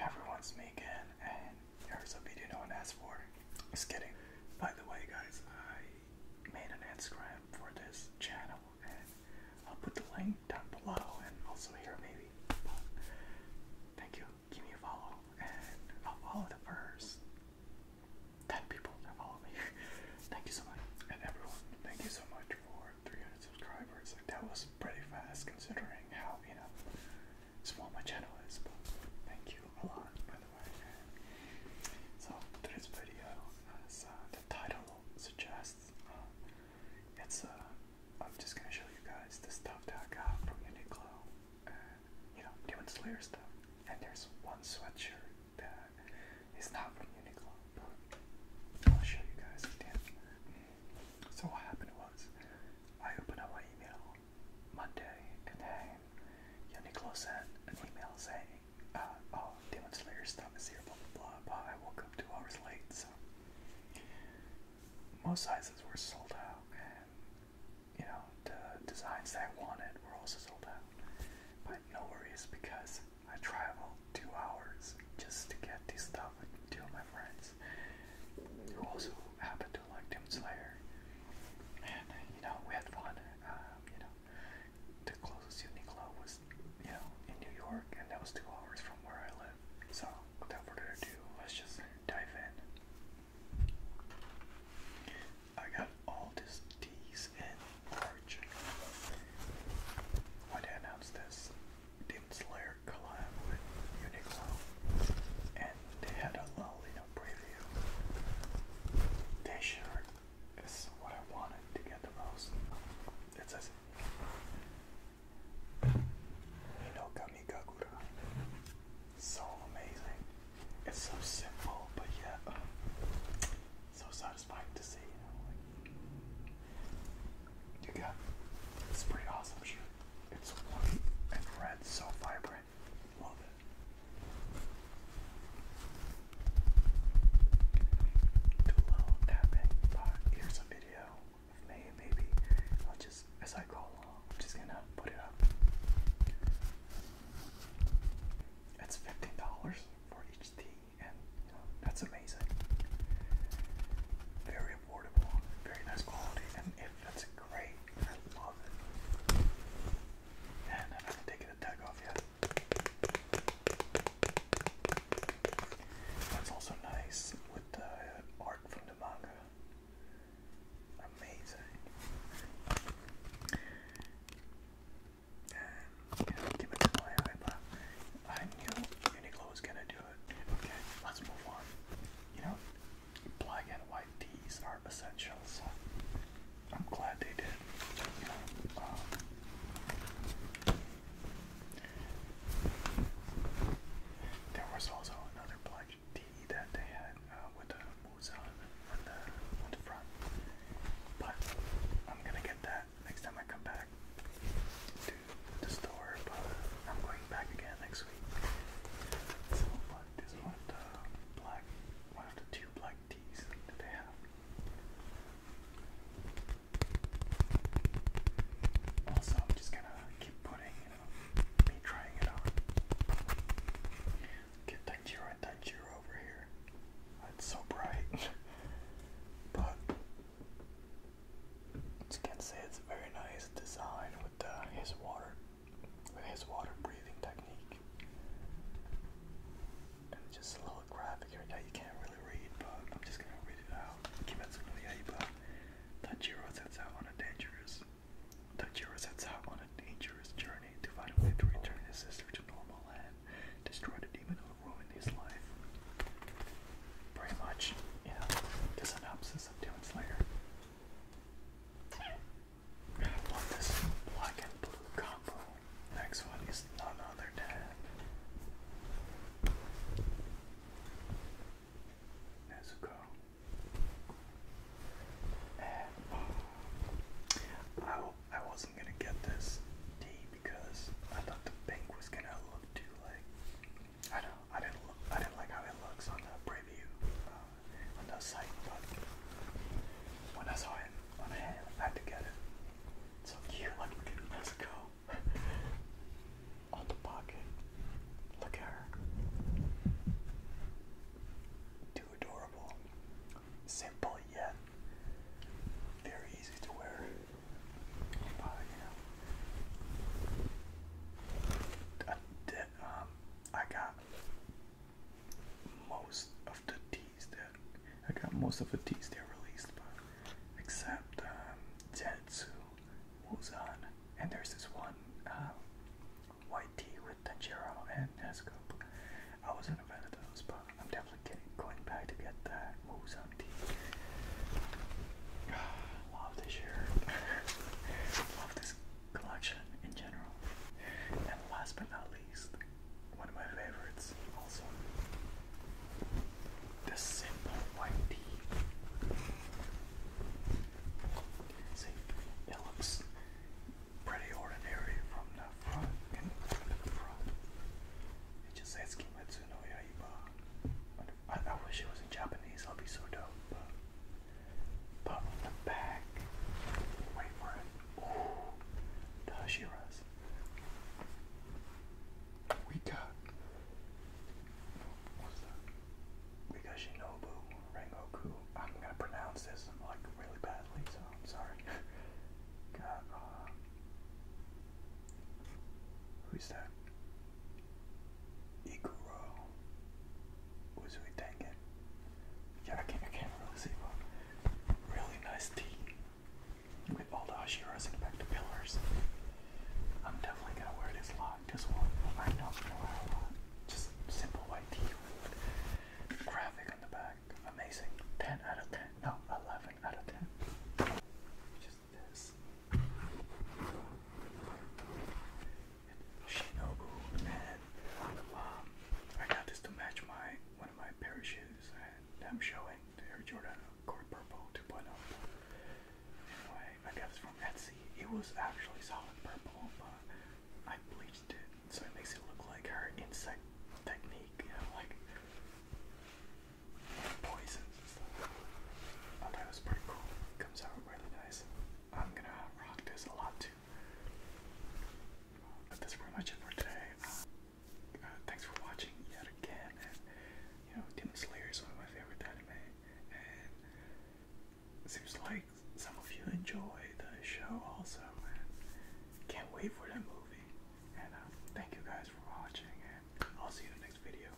everyone's making and there's a video no one asked for. Just kidding. By the way guys, I made an Instagram for this channel and I'll put the link down below and also here maybe. thank you. Give me a follow and I'll follow the first 10 people that follow me. thank you so much. And everyone, thank you so much for 300 subscribers. Like that was pretty fast considering how, you know, small my channel is, but thank you a lot, by the way. So, this video, as uh, the title suggests, um, it's, uh, I'm just gonna show you guys the stuff that I got from Uniqlo, and, you know, doing Slayer stuff, and there's one sweatshirt that is not from Uniqlo, but I'll show you guys again. So what happened was, I open up my email Monday and then Yannicolo sent an email saying, uh, oh, Demon Slayer stuff is here, blah blah blah, but I woke up two hours late, so most sizes were sold out and you know, the designs that I wanted were also sold out. But no worries because I traveled two hours just to get these stuff to two my friends fans who also happen to like Demon Slayer. And you know, we had fun. Um, you know, the closest Uniqlo was, you know, in New York, and that was two hours from where I live. So, without further ado, let's just dive in. I got all this, these in March. When they announced this, Demon Slayer collab with Uniqlo, and they had a Lolino preview. This shirt is what I wanted to get the most. It says Hinokami Kagura. So amazing. It's so simple, but yet so satisfying to see you get. It's pretty awesome shirt. It's white and red, so vibrant. Love it. Do a tapping, but here's a video of maybe. I'll just, as I go along, just gonna put it up. It's $15 for each tea, and that's amazing. Very affordable, very nice quality, and it fits great. I love it. And I haven't taken the tag off yet. That's also nice with the art from the manga. Amazing. And give it to my eye, I knew Uniqlo was gonna do it. Okay, let's move on you know, black and white tees are essential. So I'm glad they did. You know, um, there was also another black tee that they had uh, with the moose on on the, on the front, but I'm gonna get that next time I come back the store, but I'm going back again next week. So this one black one of the two black teas that they have. Also I'm just gonna keep putting, you know, me trying it out. Get Tanjiro and Tanjiro over here. It's so bright. but as you can it's a very nice design with uh, his water, with his water breathing technique, and just a little graphic here that you can't really read, but I'm just gonna read it out. Kimetsu no Yaiba. Tanjiro sets out on a dangerous. Tanjiro sets out on a dangerous journey to find a way to return his sister to normal land, destroy the demon who ruined his life pretty much, you know, the synopsis of Demon Slayer. I love this black and blue combo. Next one is none other than Nezuko. Uh, I, I wasn't gonna get this D because I thought the pink was gonna look too like I don't. I didn't. Look, I didn't like how it looks on the preview uh, on the site, but when I saw it on a hand, I had to get it. so cute. Look, look at on the pocket. Look at her. Too adorable. Simple yet very easy to wear. But, you um, I, got most of the teas that I got most of the teas they released, but except um, Zetsu, Wuzan, and there's this one um, white tea with Tanjiro and Nesco. I wasn't a fan of those, but I'm definitely going back to get that Wuzan tea. love this shirt. love this collection in general. And last but not least, one of my favorites also. This simple white tee. See, it looks pretty ordinary from the front and the front. It just says Kimetsu no Yaiba on I, wish it was in Japanese, I'll be so dope. But, but the back, wait for it. Ooh, the We got. What's that? We got Shinobu Rengoku. I'm gonna pronounce this like really badly, so I'm sorry. got, uh. Who's that? Iguro Uzui Tengen. Yeah, I can't, I can't really see, really nice tea with all the Hashiras in the back to pillars. I'm definitely gonna wear this a lot. This one, I know I'm gonna wear a lot. Just simple white tea with graphic on the back. Amazing. 10 out of 10. No, 11 out of 10. Shinobu and um, I got this to match my one of my pair of shoes and I'm showing Air Jordan Core Purple 2.0. Anyway, I got this from Etsy. It was actually solid purple, but I bleached it so it makes it look like her insect technique, you know, like poisons Oh, that was pretty cool. Comes out really nice. I'm gonna rock a lot too. that's pretty much it for today. Uh, uh, thanks for watching yet again. you know, Demon Slayer is one of my favorite anime, and seems like some of you enjoy the show also. can't wait for that movie. And uh, thank you guys for watching, and I'll see you in the next video.